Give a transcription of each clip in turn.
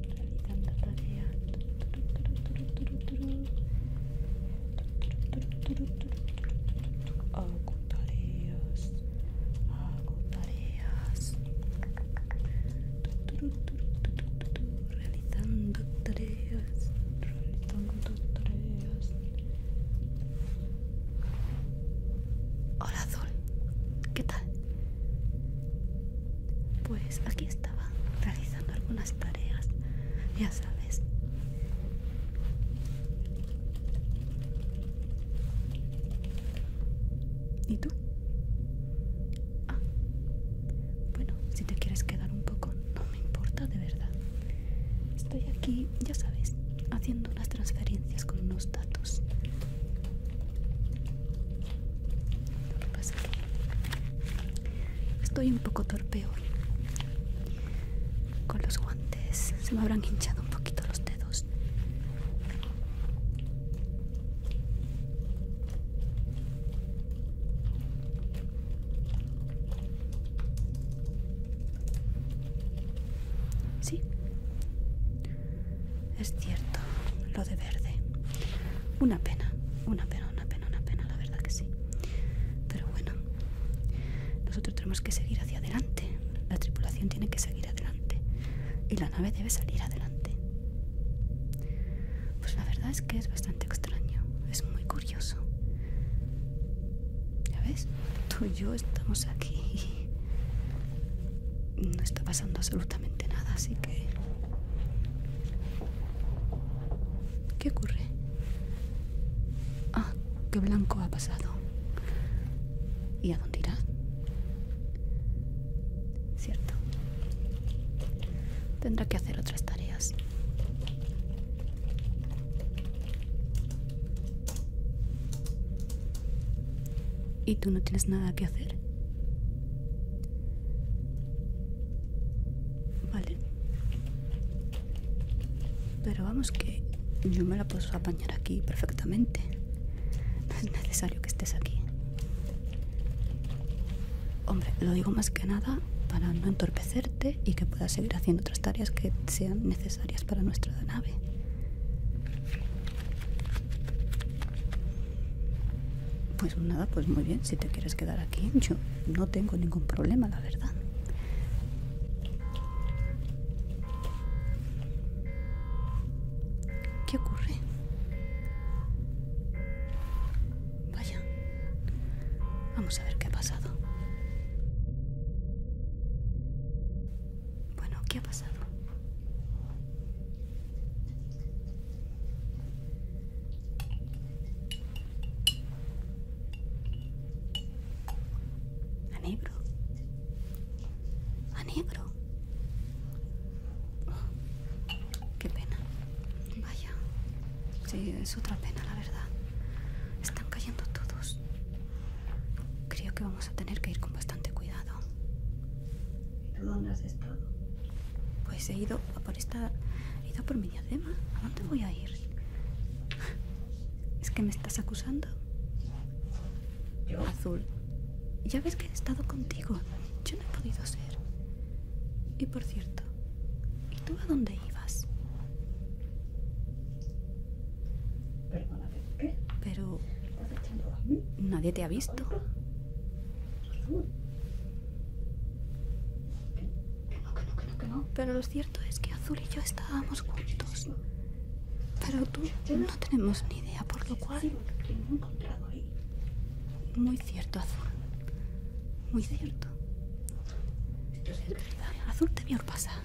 Realizando tareas. Hago tareas. Hago tareas. Realizando tareas. Realizando tareas. Hola Azul, ¿qué tal? Pues aquí estaba realizando algunas tareas, ya sabes. ¿Y tú? Ah, bueno, si te quieres quedar un poco, no me importa de verdad. Estoy aquí, ya sabes, haciendo unas transferencias con unos datos. estoy un poco torpe hoy. Con los guantes se me habrán hinchado un poquito los dedos. Sí, es cierto, lo de verde. Una pena, una pena, una pena, una pena, la verdad que sí. Pero bueno, nosotros tenemos que seguir hacia adelante. La tripulación tiene que seguir adelante. Y la nave debe salir adelante. Pues la verdad es que es bastante extraño, es muy curioso. ¿Ya ves? Tú y yo estamos aquí. Y no está pasando absolutamente nada, así que... ¿Qué ocurre? Ah, ¡Qué Blanco ha pasado. ¿Y a dónde irá? Cierto. Tendrá que hacer otras tareas. ¿Y tú no tienes nada que hacer? Vale. Pero vamos que yo me la puedo apañar aquí perfectamente. No es necesario que estés aquí. Hombre, lo digo más que nada para no entorpecer y que pueda seguir haciendo otras tareas que sean necesarias para nuestra nave. Pues nada, pues muy bien, si te quieres quedar aquí, yo no tengo ningún problema, la verdad. ¿Qué ocurre? Vaya. Vamos a ver qué ha pasado. Bueno, ¿qué ha pasado? A negro. A negro. qué pena. Vaya. Sí, es otra pena, la verdad. Están cayendo todos. Creo que vamos a tener que ir con bastante cuidado. ¿Y tú dónde has estado? Pues he ido por esta. He ido por mi diadema. ¿A dónde voy a ir? ¿Es que me estás acusando? Azul. Ya ves que he estado contigo. Yo no he podido ser. Y por cierto, ¿y tú a dónde ibas? Pero... Nadie te ha visto. Pero lo cierto es que Azul y yo estábamos juntos. Pero tú no tenemos ni idea, por lo cual... Muy cierto, Azul. Muy cierto. Azul te vio pasar.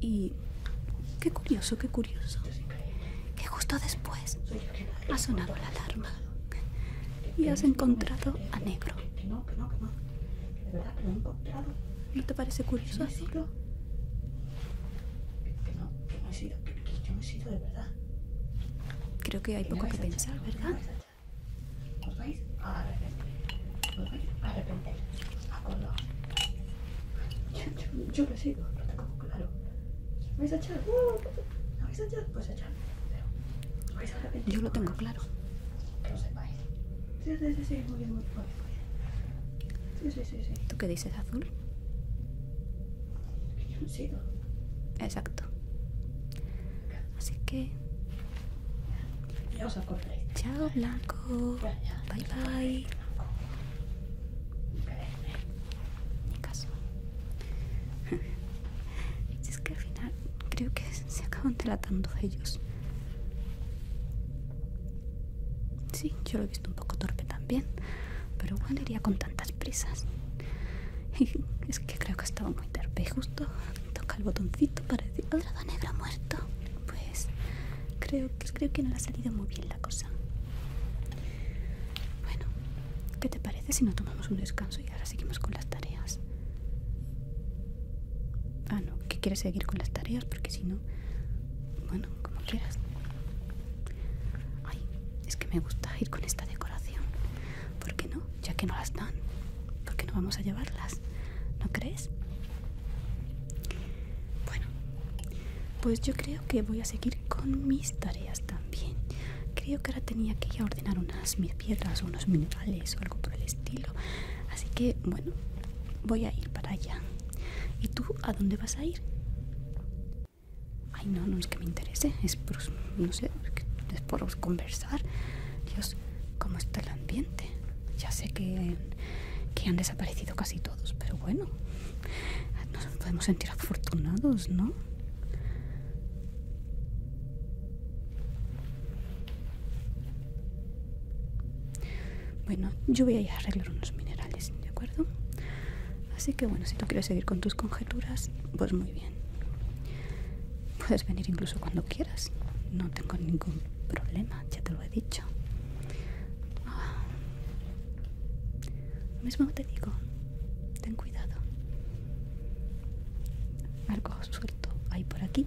Y qué curioso, qué curioso. Que justo después ha sonado la alarma y has encontrado a negro. ¿No te parece curioso así? Creo que hay poco que pensar, ¿verdad? Os vais a arrepentir. Os vais a arrepentir. Yo, yo, yo lo sigo, lo tengo claro. ¿Os vais a echar? ¿No ¡Uh! vais a echar? Pues echar. Pero vais a arrepentir. Yo lo tengo claro. Que lo sepáis. Sí, sí, sí, sí, muy bien, muy bien. Sí, sí, sí, sí. ¿Tú qué dices, azul? Yo no sigo. Exacto. Así que ya os Chao, Blanco. Bye, bye. es que al final creo que se acaban tratando ellos. Sí, yo lo he visto un poco torpe también, pero igual iría con tantas prisas. es que creo que está y justo toca el botoncito para decir ¿Otra da negro muerto pues creo, creo que no le ha salido muy bien la cosa bueno ¿qué te parece si no tomamos un descanso y ahora seguimos con las tareas? ah no que quieres seguir con las tareas porque si no bueno como quieras ay es que me gusta ir con esta decoración ¿por qué no ya que no las dan, porque no vamos a llevarlas, ¿no crees? Bueno, pues yo creo que voy a seguir con mis tareas también. Creo que ahora tenía que ir a ordenar unas mis piedras o unos minerales o algo por el estilo. Así que, bueno, voy a ir para allá. ¿Y tú a dónde vas a ir? Ay, no, no es que me interese, es por, no sé, es por conversar. Dios, ¿cómo está el ambiente? Ya sé que, han desaparecido casi todos, pero bueno, nos podemos sentir afortunados, ¿no? Bueno, yo voy a ir a arreglar unos minerales, ¿de acuerdo? Así que bueno, si tú quieres seguir con tus conjeturas, pues muy bien. Puedes venir incluso cuando quieras. No tengo ningún problema, ya te lo he dicho. Lo mismo te digo, ten cuidado. Algo suelto hay por aquí.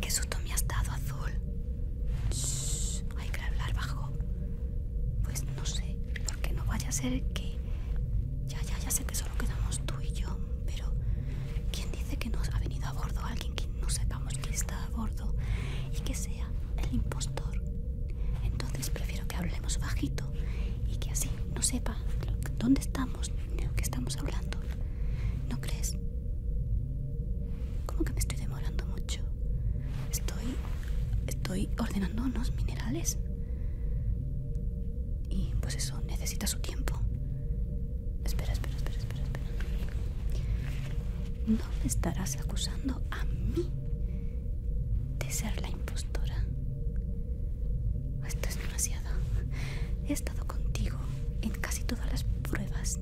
¡Qué susto me has dado, Azul! hay que hablar bajo. Pues no sé, porque no vaya a ser que ya, ya, ya sé que solo quedamos tú y yo, pero ¿quién dice que nos ha venido a bordo alguien que no sepamos que está a bordo y que sea el impostor? Entonces prefiero que hablemos bajito y que así no sepa dónde estamos de lo que estamos hablando. ¿No crees? Como que me estoy demorando mucho. Estoy. estoy ordenando unos minerales. Y pues eso necesita su tiempo. Espera, espera, espera, espera, espera. ¿No me estarás acusando a mí de ser la impostora? Esto es demasiado. He estado contigo en casi todas las pruebas.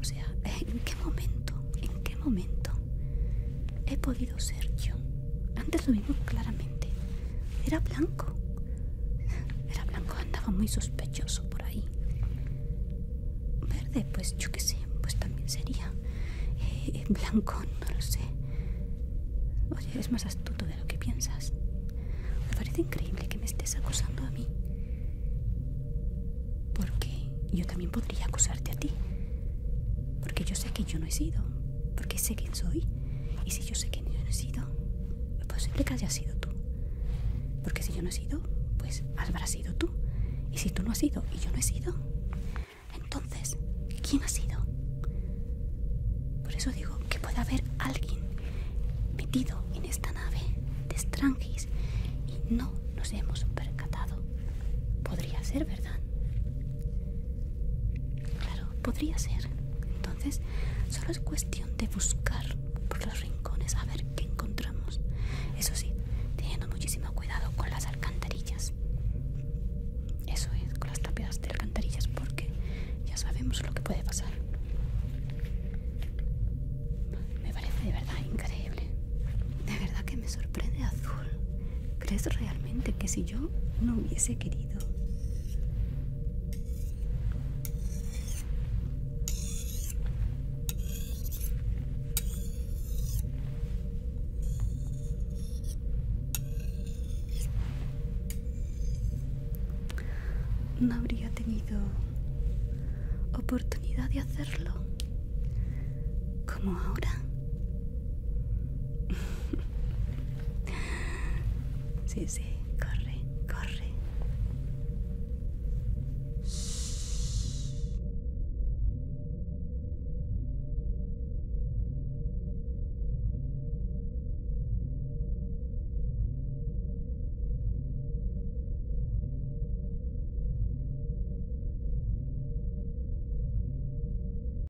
O sea, ¿en qué momento? ¿En qué momento he podido ser yo? Antes lo mismo, claramente. Era blanco. Era blanco, andaba muy sospechoso por ahí. Verde, pues yo qué sé, pues también sería. Eh, eh, blanco, no lo sé. Oye, es más astuto de lo que piensas. Me parece increíble que me estés acusando a mí. Porque yo también podría acusarte a ti. Porque yo sé que yo no he sido. Porque sé quién soy. Y si yo sé que he sido, pues posible que has sido tú. Porque si yo no he sido, pues habrás sido tú. Y si tú no has sido y yo no he sido, entonces, ¿quién ha sido? Por eso digo que puede haber alguien metido en esta nave de Strangis y no nos hemos percatado. Podría ser, ¿verdad? Claro, podría ser. Entonces, solo es cuestión de buscar por los rincones a ver qué encontramos. Eso sí, teniendo muchísimo cuidado con las alcantarillas. Eso es, con las tapias de alcantarillas, porque ya sabemos lo que puede pasar. Me parece de verdad increíble. De verdad que me sorprende azul. ¿Crees realmente que si yo no hubiese querido? No habría tenido oportunidad de hacerlo como ahora. Sí, sí, corre, corre.